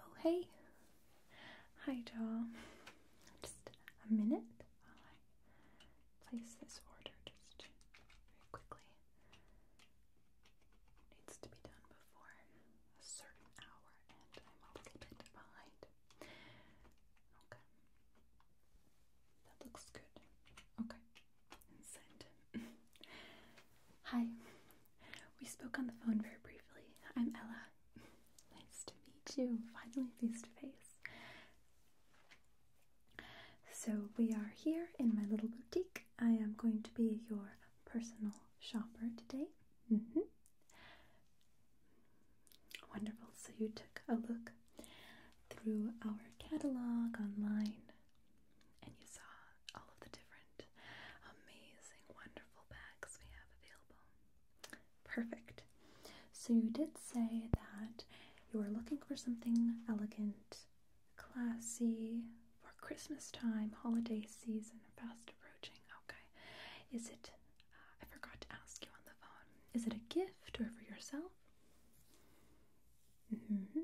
Oh, hey, hi, doll. Just a minute while I place this order just very quickly needs to be done before a certain hour, and I'm a little bit behind. Okay. That looks good. Okay. send. Hi. We spoke on the phone very briefly. I'm Ella. nice to meet you. Finally face to face. So, we are here in my little boutique. I am going to be your personal shopper today. Mm-hmm. Wonderful. So, you took a look through our catalog online and you saw all of the different amazing, wonderful bags we have available. Perfect. So, you did say that you were looking for something elegant classy for Christmas time, holiday season fast approaching. Okay, is it? Uh, I forgot to ask you on the phone. Is it a gift or for yourself? Mm-hmm.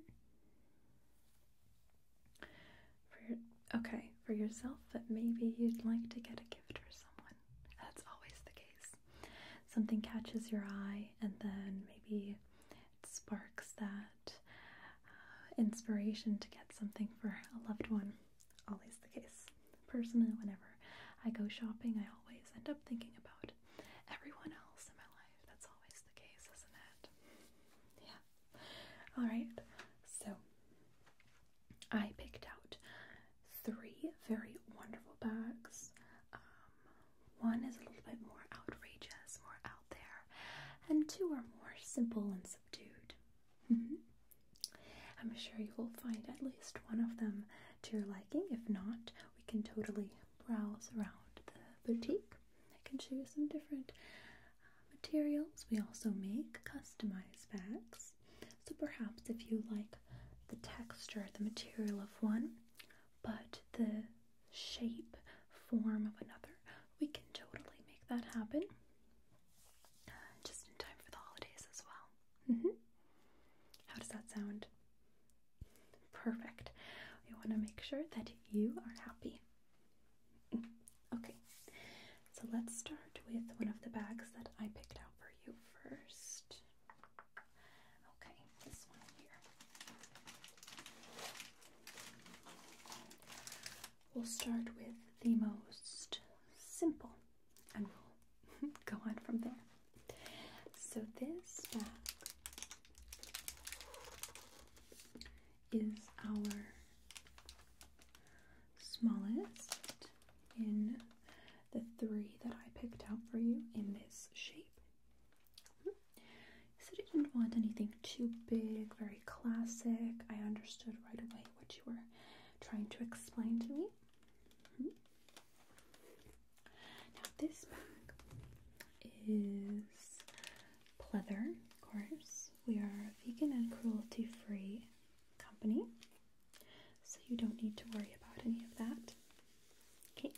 For okay, for yourself, but maybe you'd like to get a gift for someone. That's always the case. Something catches your eye, and then maybe it sparks that uh, inspiration to get something for a loved one. Always the case. Personally, whenever I go shopping, I always end up thinking about everyone else in my life. That's always the case, isn't it? Yeah. Alright, so I picked out three very wonderful bags. Um, one is a little bit more outrageous, more out there, and two are more simple and subdued. Mm-hmm. I'm sure you will find at least one of them to your liking. If not, we can totally browse around the boutique. I can show you some different uh, materials. We also make customized bags. So perhaps if you like the texture, the material of one, but the shape, form of another, we can totally make that happen just in time for the holidays as well. Mm -hmm. How does that sound? Perfect. We want to make sure that you are happy. Mm-hmm. Okay, so let's start with one of the bags that I picked out for you first. Okay, We'll start with the most simple and we'll go on from there. So, this bag is our smallest in the three that I picked out for you in this shape. So you didn't want anything too big, very classic. I understood right away what you were trying to explain to me. Mm-hmm. Now this bag is leather. of course. We are a vegan and cruelty-free company, so you don't need to worry about any of that. Okay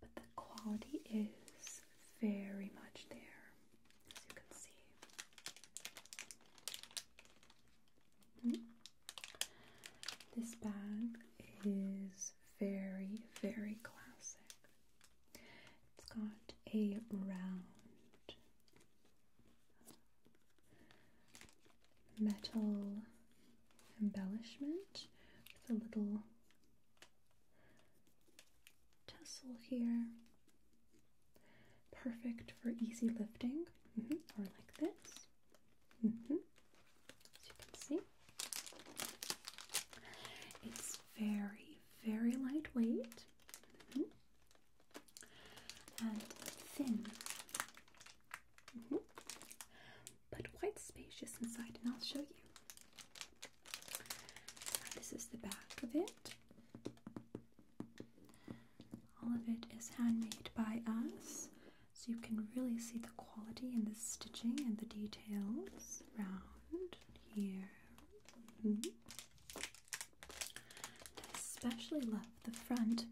but the quality is very much there, as you can see. Hmm. This bag is very, very classic. It's got a round metal embellishment with a little tassel here. Perfect for easy lifting, mm-hmm. or like this. Mm-hmm. As you can see, it's very, very lightweight mm-hmm. and thin but quite spacious inside, and I'll show you. This is the back of it. All of it is handmade by us, so you can really see the quality and the stitching and the details around here. I especially love the front.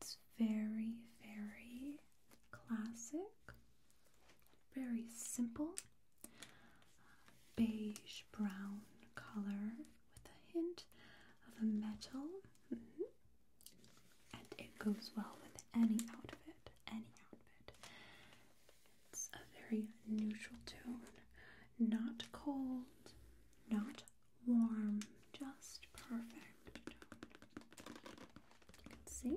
It's very, very classic, very simple beige brown color with a hint of a metal. Mm-hmm. And it goes well with any outfit, any outfit. It's a very neutral tone, not cold, not warm, just perfect. You can see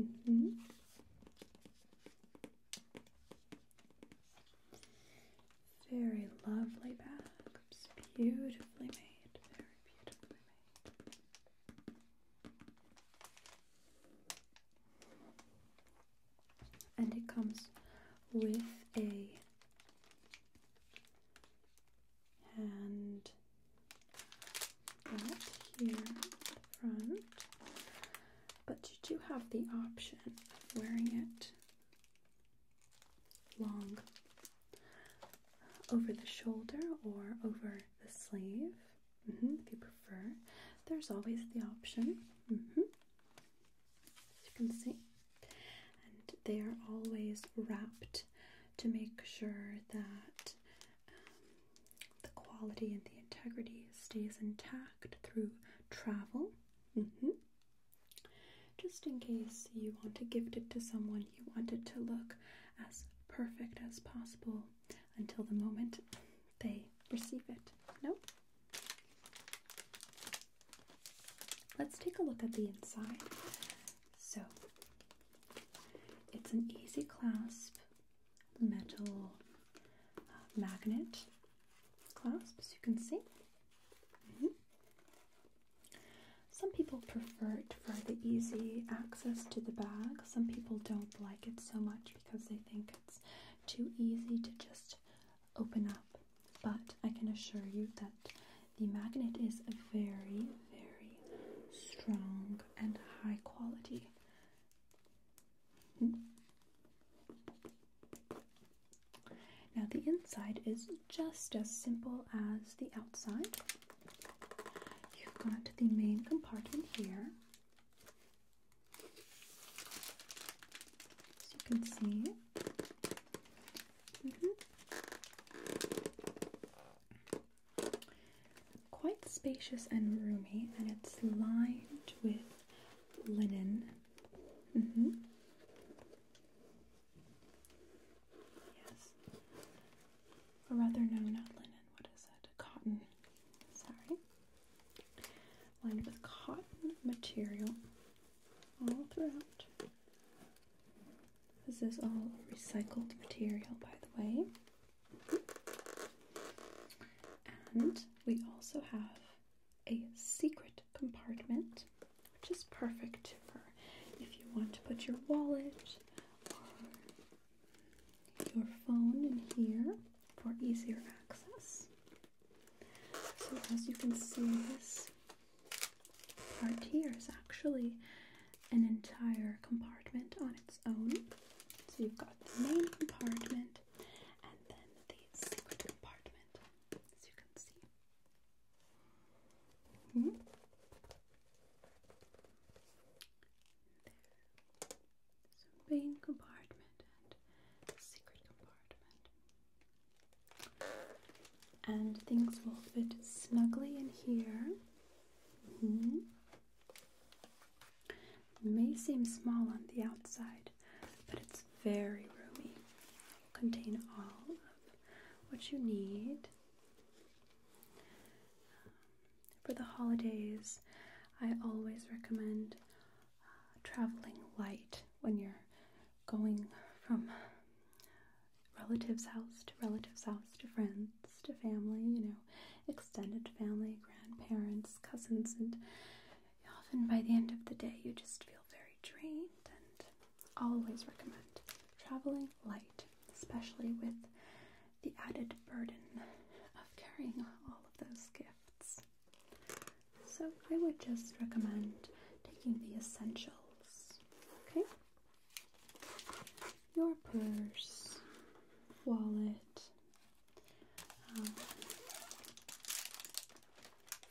Mm-hmm. Very lovely bags, beautifully made, very beautifully made. And it comes with a and here front. But you do have the option of wearing it long over the shoulder or over the sleeve mm-hmm, if you prefer. There's always the option. Mm-hmm. As you can see, and they are always wrapped to make sure that um, the quality and the integrity stays intact through travel. Mm-hmm. Just in case you want to gift it to someone, you want it to look as perfect as possible until the moment they receive it. No? Let's take a look at the inside. So it's an easy clasp metal uh, magnet clasp, as you can see. Mm-hmm. Some people prefer it for the easy access to the bag. Some people don't like it so much because they think it's too easy to just open up. But I can assure you that the magnet is very, very strong and high quality. Now, the inside is just as simple as the outside. You've got the main compartment here. As you can see. Mm-hmm. Quite spacious and roomy, and it's lined with linen. Mm-hmm. Yes. Or rather, no, not linen. What is it? Cotton. Sorry. Lined with cotton material all throughout. This is all recycled material, by the way. And we also have a secret compartment, which is perfect for if you want to put your wallet or your phone in here for easier access. So as you can see, this part here is actually an entire compartment on its own. So you've got the main compartment and then the secret compartment, as you can see. Mm -hmm. main compartment and secret compartment. And things will fit snugly in here. Mm-hmm. may seem small on the outside, but it's very roomy. will contain all of what you need. for the holidays, I always recommend uh, traveling light when you're going from relatives' house to relatives' house to friends to family, you know, extended family, grandparents, cousins, and often by the end of the day you just feel very drained. And always recommend traveling light, especially with the added burden of carrying all of those gifts. So I would just recommend taking the essentials. Okay your purse, wallet, um,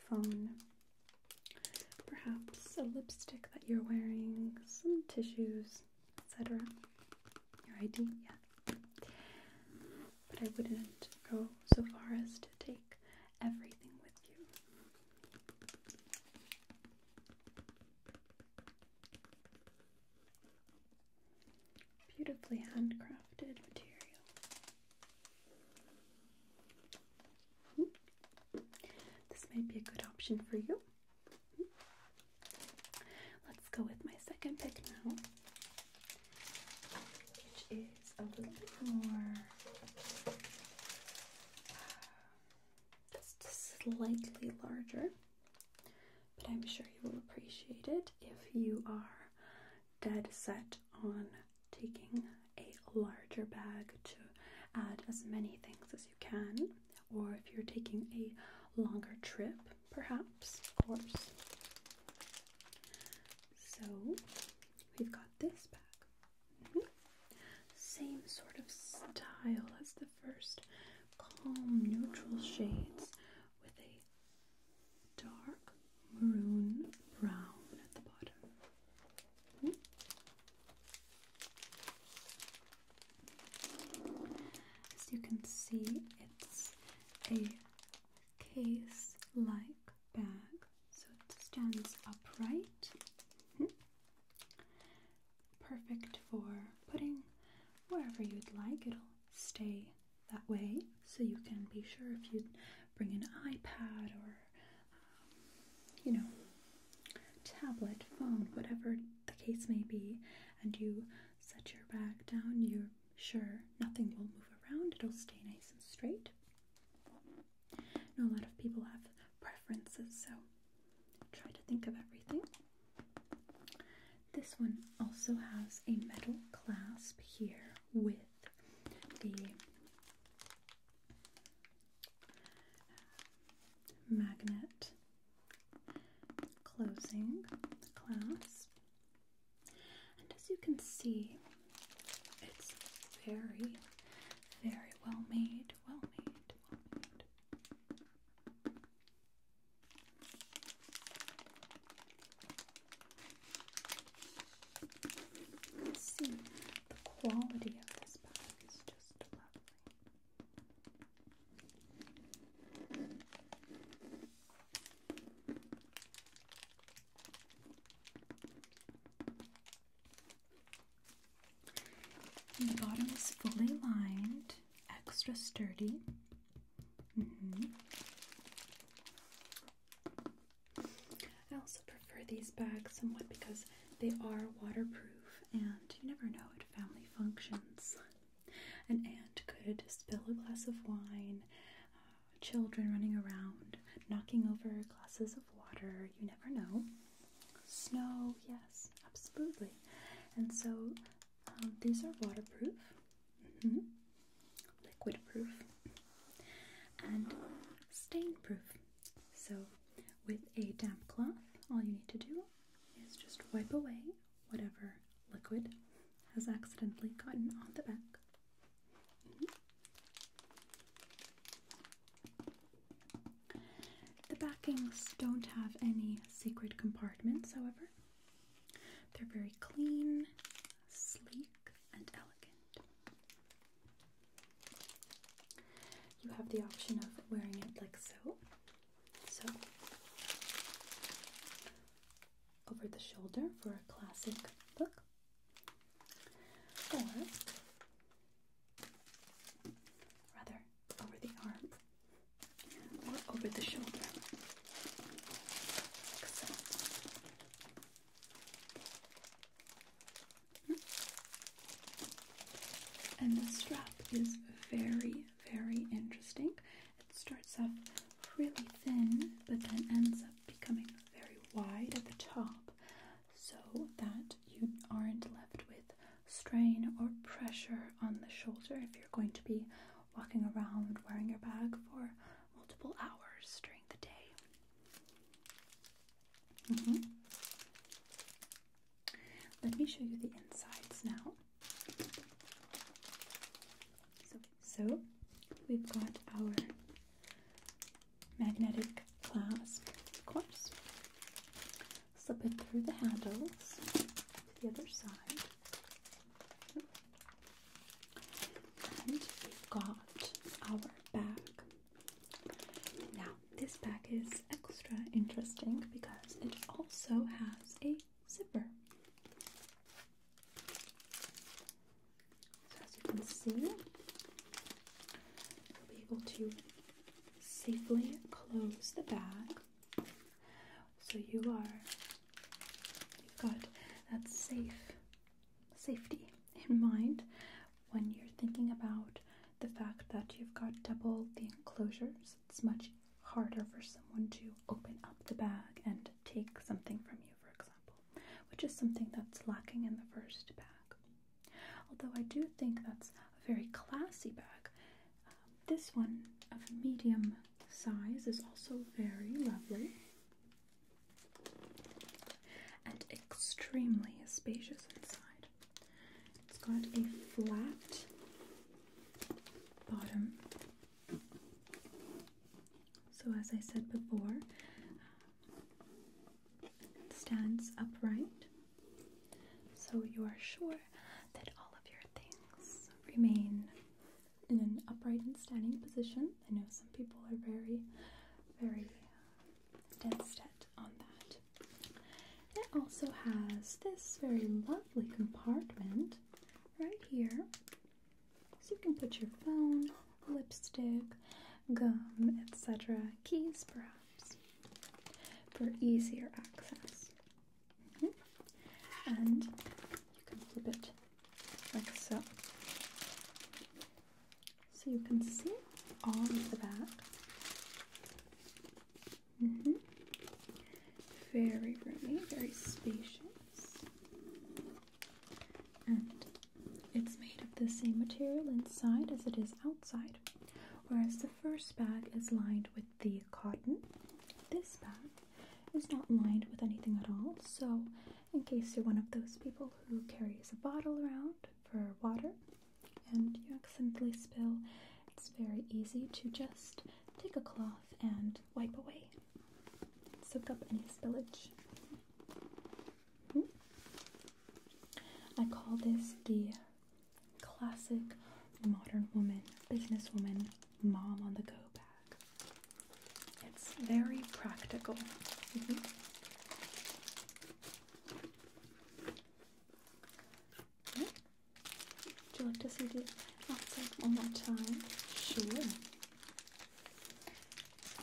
phone, perhaps a lipstick that you're wearing, some tissues, etc. Your ID, yeah. But I wouldn't go so far as to take everything with you. Beautifully handcrafted material. Hmm. This might be a good option for you. Let's go with my second pick now, which is a little bit more just slightly larger, but I'm sure you will appreciate it if you are dead set on taking a larger bag to add as many things as you can, or if you're taking a longer trip, perhaps, of course. So we've got this bag. Mm-hmm. Same sort of style as the first calm neutral shades with a dark maroon brown at the bottom. Hmm? As you can see, it's a case like bag, so it stands upright. Hmm? perfect for putting wherever you'd like. It'll stay that way so you can be sure if you bring an iPad or, um, you know, tablet, phone, whatever the case may be, and you set your bag down, you're sure nothing will move around. It'll stay nice and straight. You a lot of people have preferences, so Try to think of everything. This one also has a metal clasp here with the uh, magnet closing the clasp. And as you can see, it's very, very well made. Well made, well made. Let's see, the quality of this bag is just lovely the bottom is fully lined, extra sturdy. Mm-hmm. I also prefer these bags somewhat because they are waterproof and you never know at family functions. An aunt could spill a glass of wine, uh, children running around, knocking over glasses of water, you never know. Snow, yes, absolutely. And so um, these are waterproof, mm-hmm. liquid proof, and stain proof. So, with a damp cloth, all you need to do is just wipe away whatever liquid has accidentally gotten on the back. Mm-hmm. The backings don't have any secret compartments, however. They're very clean, sleek, and elegant. You have the option of wearing it like so. So, over the shoulder for a classic look, or rather over the arm or over the shoulder. And the strap is very, very interesting. It starts off really thin but then ends up becoming very wide at the top so that you aren't left with strain or pressure on the shoulder if you're going to be walking around wearing your bag for multiple hours during the day. Mm-hmm. Let me show you the insides now. so we've got our magnetic clasp, of course slip it through the handles to the other side. And we've got our bag. Now, this bag is extra interesting because it also has a zipper. So, as you can see, you'll able to safely close the bag so you are you've got that safe safety in mind when you're thinking about the fact that you've got double the enclosures it's much harder for someone to open up the bag and take something from you for example which is something that's lacking in the first bag Although I do think that's a very classy bag. Um, this one of medium size is also very lovely and extremely spacious inside. It's got a flat bottom. So, as I said before, um, it stands upright so you are sure that all of your things remain in an upright and standing position. I know some people are very, very dead set on that. It also has this very lovely compartment right here. So you can put your phone, lipstick, gum, etc., keys, bra for easier access. Mm-hmm. And you can flip it like so. So you can see all of the back. Mm-hmm. Very roomy, very spacious. And it's made of the same material inside as it is outside. Whereas the first bag is lined with the cotton, this bag is not lined with anything at all. So, in case you're one of those people who carries a bottle around for water and you accidentally spill, it's very easy to just take a cloth and wipe away, soak up any spillage. Hmm? I call this the classic modern woman, businesswoman, mom on the go bag. It's very practical. Mm Would you like to see the outside one more time? Sure.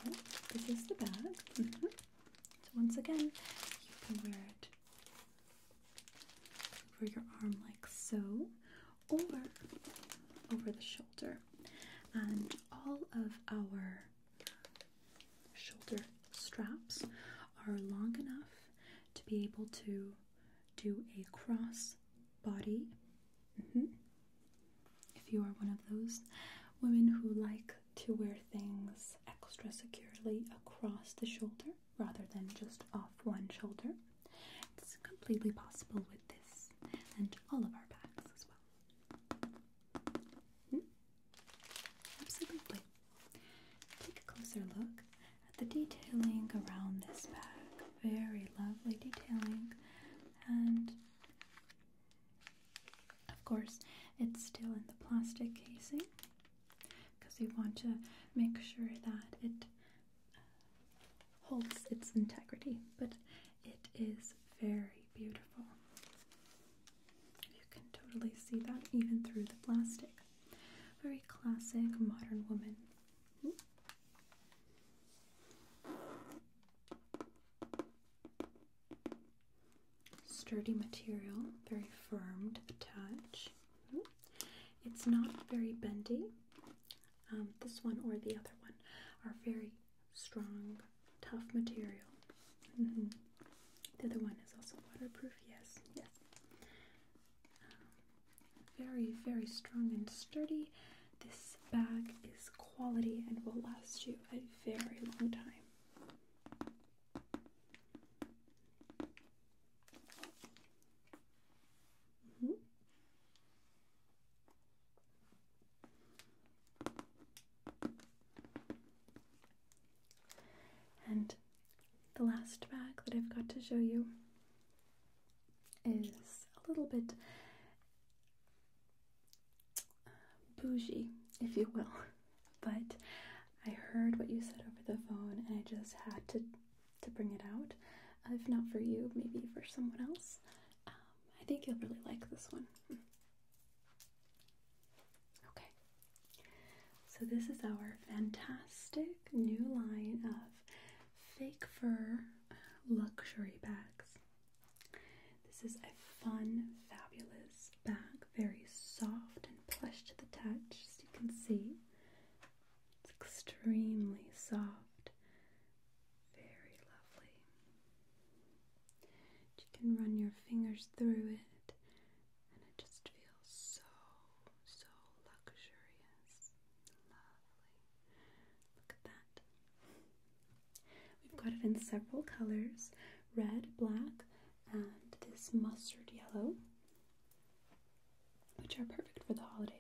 Oh, this is the bag. Mm-hmm. So once again, you can wear it over your arm like so, or over the shoulder. And all of our shoulder straps are long enough to be able to do a cross body. Mm-hmm. If you are one of those women who like to wear things extra securely across the shoulder, rather than just off one shoulder. It's completely possible with this and all of our bags as well. Hmm. Absolutely. Take a closer look at the detailing around this bag. Very lovely detailing, and of course, it's still in the plastic casing because we want to make sure that it uh, holds its integrity. But it is very beautiful. You can totally see that even through the plastic. Very classic modern woman sturdy material, very firm to the touch. It's not very bendy. Um, this one or the other one are very strong, tough material. Mm-hmm. The other one is also waterproof, yes, yes. Um, very, very strong and sturdy. This bag is quality and will last you a very long time. Mm-hmm. And the last bag that I've got to show you is a little bit uh, bougie, if you will. but I heard what you said over the phone and I just had to to bring it out. Uh, if not for you, maybe for someone else. Um, I think you'll really like this one. Hmm. Okay. So this is our fantastic new line of fake fur luxury bags. This is a fun, fabulous Back, very soft and plush to the touch, as you can see. It's extremely soft, very lovely. You can run your fingers through it, and it just feels so, so luxurious. Lovely. Look at that. We've got it in several colors red, black, and this mustard yellow, which are perfect for the holidays.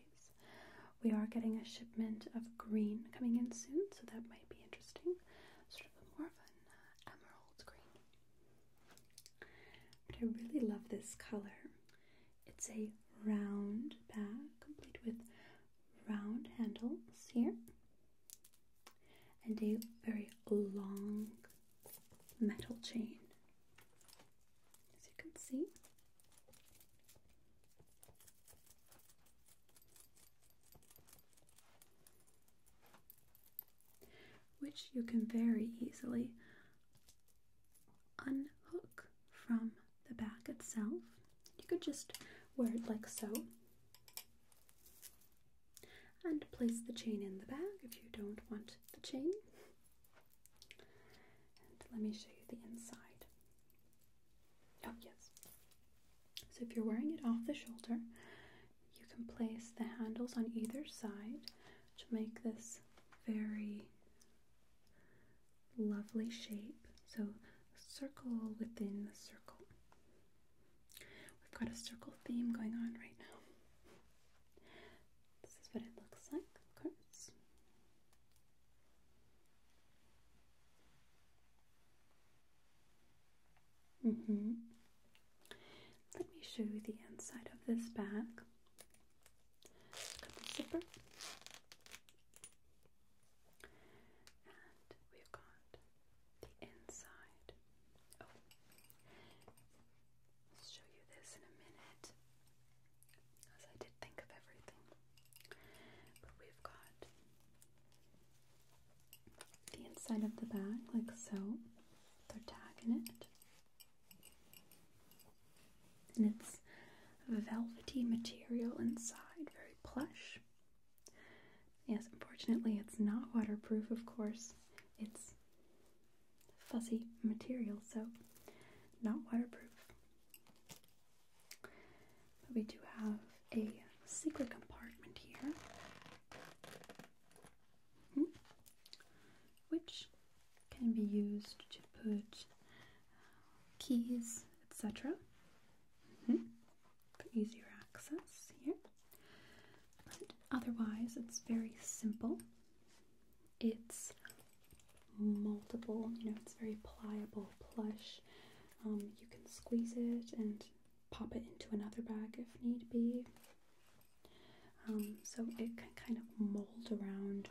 We are getting a shipment of green coming in soon, so that might be interesting. Sort of more of an uh, emerald green. I really love this color. It's a round bag, complete with round handles here, and a very long metal chain, as you can see. Which you can very easily unhook from the back itself. You could just wear it like so, and place the chain in the bag if you don't want the chain. And let me show you the inside. Oh, yes. So, if you're wearing it off the shoulder, you can place the handles on either side to make this very lovely shape. So, circle within the circle. We've got a circle theme going on right now. This is what it looks like, of course. Mm-hmm. Let me show you the inside of this bag. zipper. And we've got the inside. Oh. I'll show you this in a minute because I did think of everything. But we've got the inside of the bag, like so, They're tagging it. And it's velvety material inside, very plush. Yes, unfortunately, it's not waterproof, of course. It's fuzzy material, so not waterproof. But we do have a secret compartment here, hmm, which can be used to put keys, etc. Hmm, for easier access here. But otherwise, it's very simple. It's multiple, you know, it's very pliable, plush. Um, you can squeeze it and pop it into another bag if need be. Um, so it can kind of mold around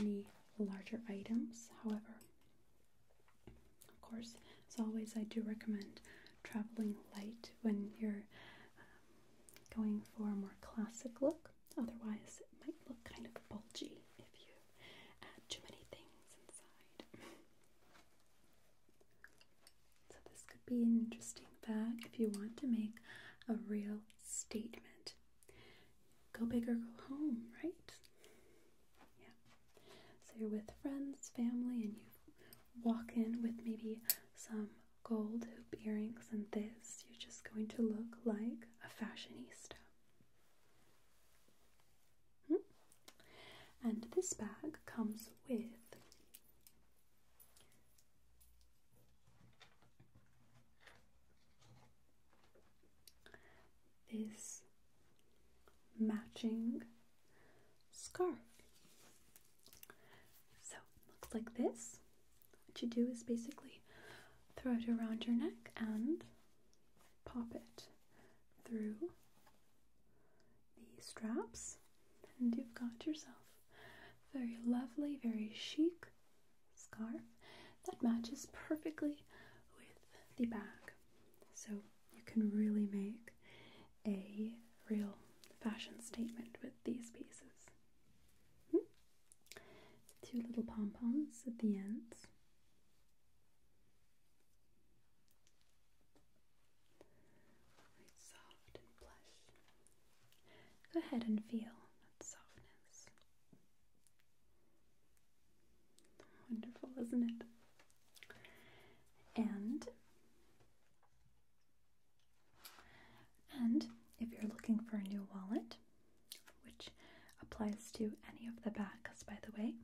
any larger items. However, of course, as always, I do recommend traveling light when you're uh, going for a more classic look. Otherwise, it might look kind of bulgy if you add too many things inside. so, this could be an interesting bag if you want to make a real statement. Go big or go home, right? Yeah. So, you're with friends, family, and you walk in with maybe some gold hoop earrings and this, you're just going to look like a fashionista. Hmm? And this bag comes with this matching scarf. So looks like this. What you do is basically throw it around your neck and pop it through the straps, and you've got yourself very lovely, very chic scarf that matches perfectly with the bag. So you can really make a real fashion statement with these pieces. Hmm? Two little pom poms at the ends. Very soft and plush. Go ahead and feel that softness. Wonderful, isn't it? And and if you're looking for a new wallet, which applies to any of the backs, by the way,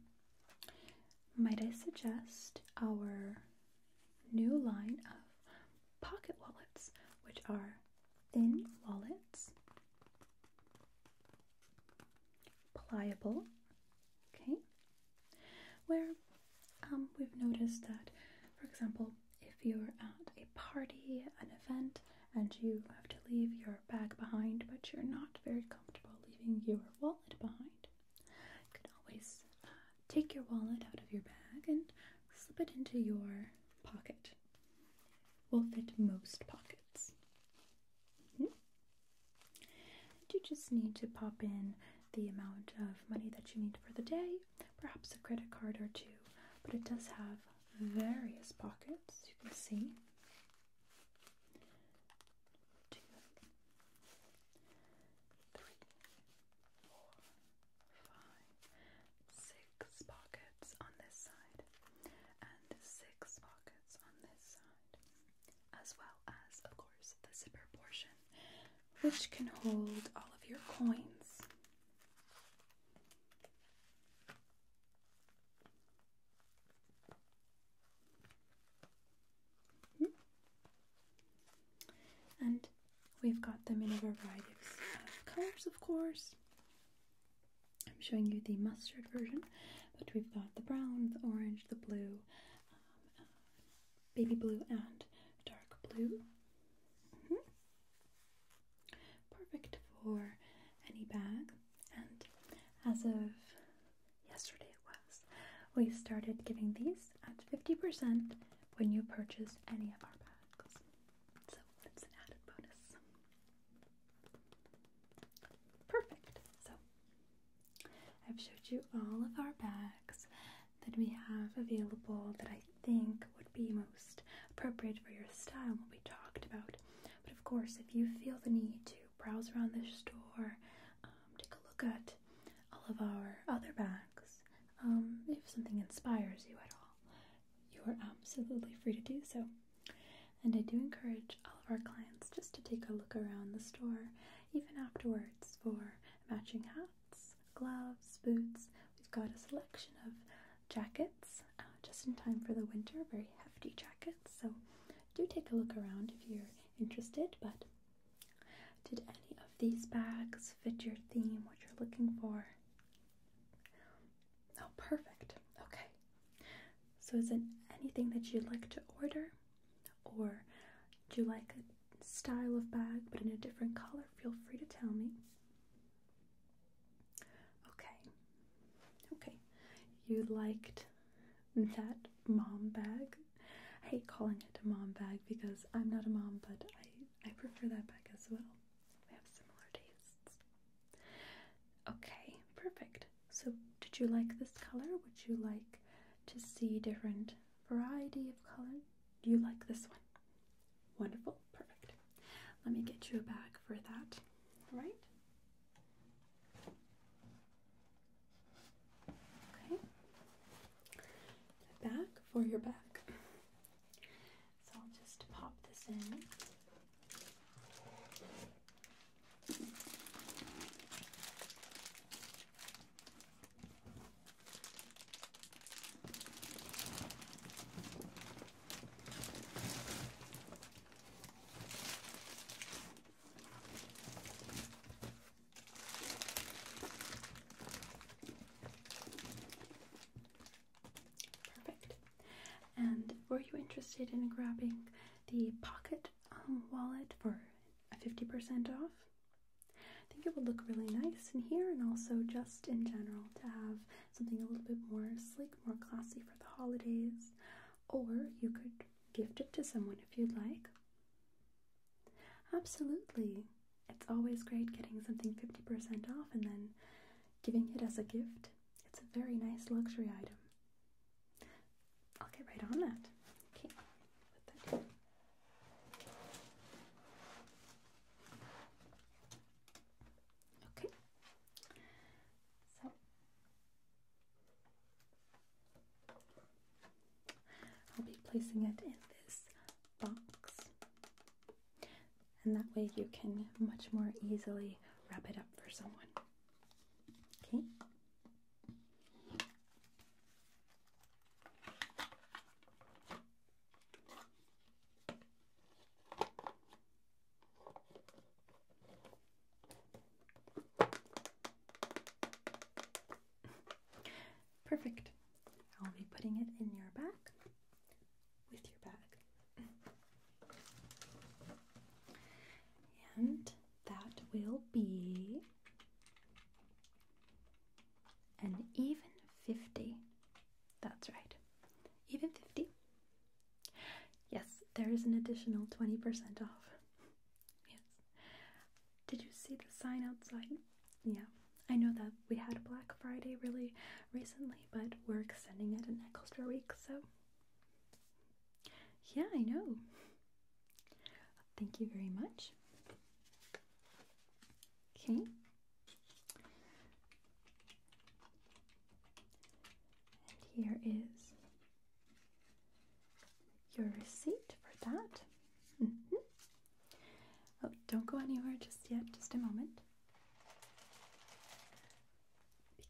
might I suggest our new line of pocket wallets, which are thin wallets, pliable, okay, where um, we've noticed that, for example, if you're at a party, an event, and you have to leave your bag behind, but you're not very comfortable leaving your wallet behind, you can always uh, take your wallet out of your bag and slip it into your pocket. Will fit most pockets. Hmm? you just need to pop in the amount of money that you need for the day perhaps a credit card or two, but it does have various pockets, you can see. Two, three, four, five, six pockets on this side, and six pockets on this side, as well as, of course, the zipper portion which can hold all of your coins. Hmm. And we've got them in a variety of colors, of course. I'm showing you the mustard version, but we've got the brown, the orange, the blue, um, baby blue and dark blue. Mm-hmm. Perfect for any bag. And as of yesterday, it was, we started giving these at 50% when you purchase any of our bags. So it's an added bonus. Perfect. So I've showed you all of our bags that we have available that I think would be most appropriate for your style and what we talked about. But of course, if you feel the need to browse around the store, um, take a look at all of our other bags, um, if something inspires you at all, you are absolutely free to do so. And I do encourage all of our clients just to take a look around the store, even afterwards, for matching hats gloves, boots. We've got a selection of jackets uh, just in time for the winter, very hefty jackets. So do take a look around if you're interested. But did any of these bags fit your theme, what you're looking for? Oh, perfect. Okay. So, is it anything that you'd like to order? Or do you like it? style of bag but in a different color, feel free to tell me. Okay. Okay. You liked that mom bag. I hate calling it a mom bag because I'm not a mom, but I, I prefer that bag as well. We have similar tastes. Okay, perfect. So, did you like this color? Would you like to see different variety of color? Do you like this one? Wonderful, perfect. Let me get you a bag for that, right? Okay. bag for your back. So I'll just pop this in. Perfect. And were you interested in grabbing the pocket um, wallet for a 50% off? I think it would look really nice in here and also just in general to have something a little bit more sleek, more classy for the holidays. Or you could gift it to someone if you'd like. Absolutely. It's always great getting something 50% off and then giving it as a gift. It's a very nice luxury item. I'll get right on that. Okay, Okay, so I'll be placing it in this box, and that way you can much more easily wrap it up for someone. Okay. Perfect. I'll be putting it in your bag with your bag. And that will be and even 50. That's right, even 50. Yes, there is an additional 20% off. yes. Did you see the sign outside? Yeah, I know that we had Black Friday really recently, but we're extending it an extra week, so. Yeah, I know. Thank you very much. Okay. And here is your receipt for that. Mm-hmm. Oh, don't go anywhere just yet, just a moment.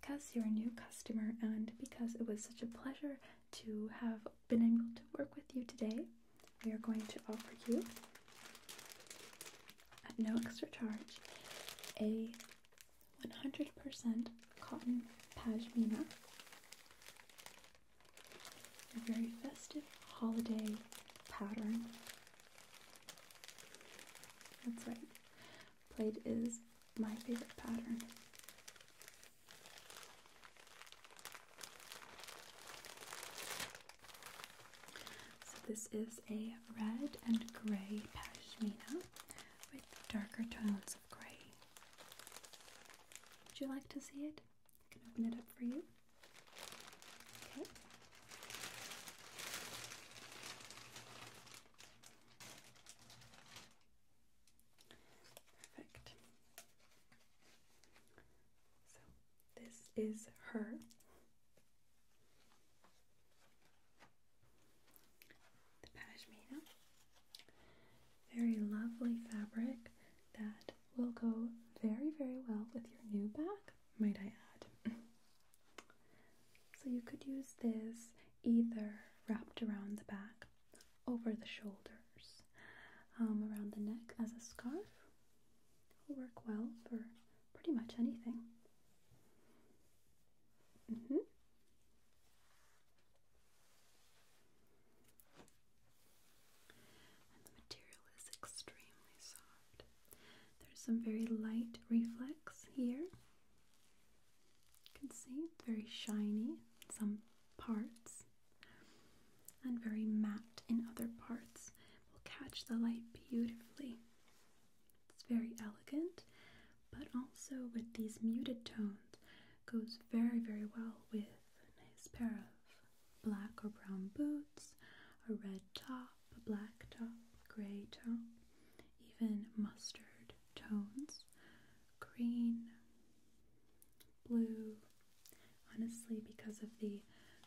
Because you're a new customer and because it was such a pleasure to have been able to work with you today, we are going to offer you, at no extra charge, a 100% cotton pashmina. A very festive holiday pattern. That's right. Plate is my favorite pattern. So this is a red and grey pashmina with darker tones of grey. Would you like to see it? I can open it up for you. Okay. Perfect. This is her. The pashmina. Very lovely fabric that will go very, very well with your new bag, might I add. so you could use this either wrapped around the back, over the shoulders, um, around the neck as a scarf, It'll work well for pretty much anything. Mm-hmm. the material is extremely soft. There's some very light reflex here. You can see very shiny some parts and very matte in other parts will catch the light beautifully. It's very elegant, but also with these muted tones goes very, very well with a nice pair of black or brown boots, a red top, a black top, gray top, even mustard tones, green, blue, Honestly, because of the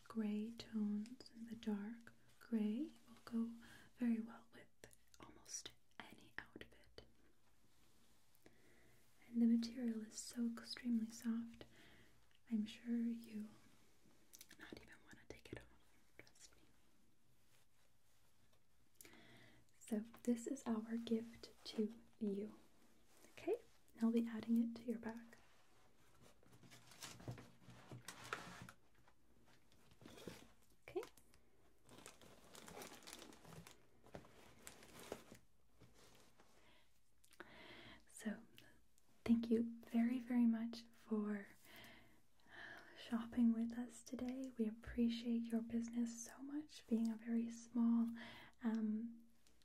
gray tones and the dark gray will go very well with almost any outfit. And the material is so extremely soft, I'm sure you not even want to take it off, trust me. So this is our gift to you. Okay? and I'll be adding it to your bag. Okay. So, thank you very, very much for shopping with us today. We appreciate your business so much, being a very small um,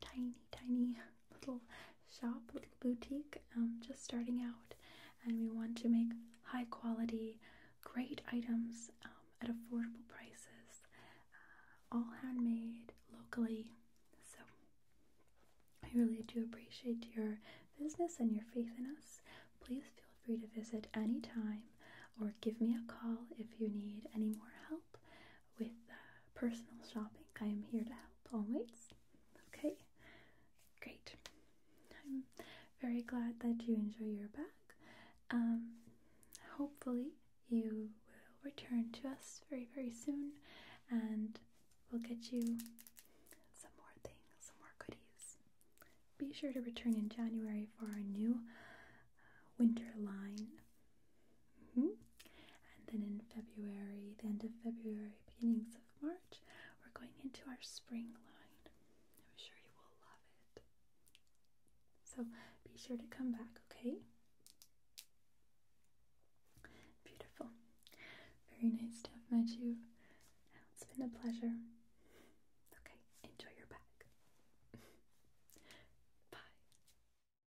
tiny, tiny little shop, little boutique, um, just starting out, and we want to make high quality, great items um, at affordable prices, uh, all handmade locally. So, I really do appreciate your business and your faith in us. Please feel free to visit anytime or give me a call if you need any more help with uh, personal shopping. I am here to help always. Okay, great. I'm very glad that you enjoy your bag. Um, hopefully, you will return to us very, very soon and we'll get you some more things, some more goodies. Be sure to return in January for our new uh, winter line Mm-hmm. And then in February, the end of February, beginnings of March, we're going into our spring line. I'm sure you will love it. So be sure to come back, okay? Beautiful. Very nice to have met you. It's been a pleasure. Okay, enjoy your back. Bye.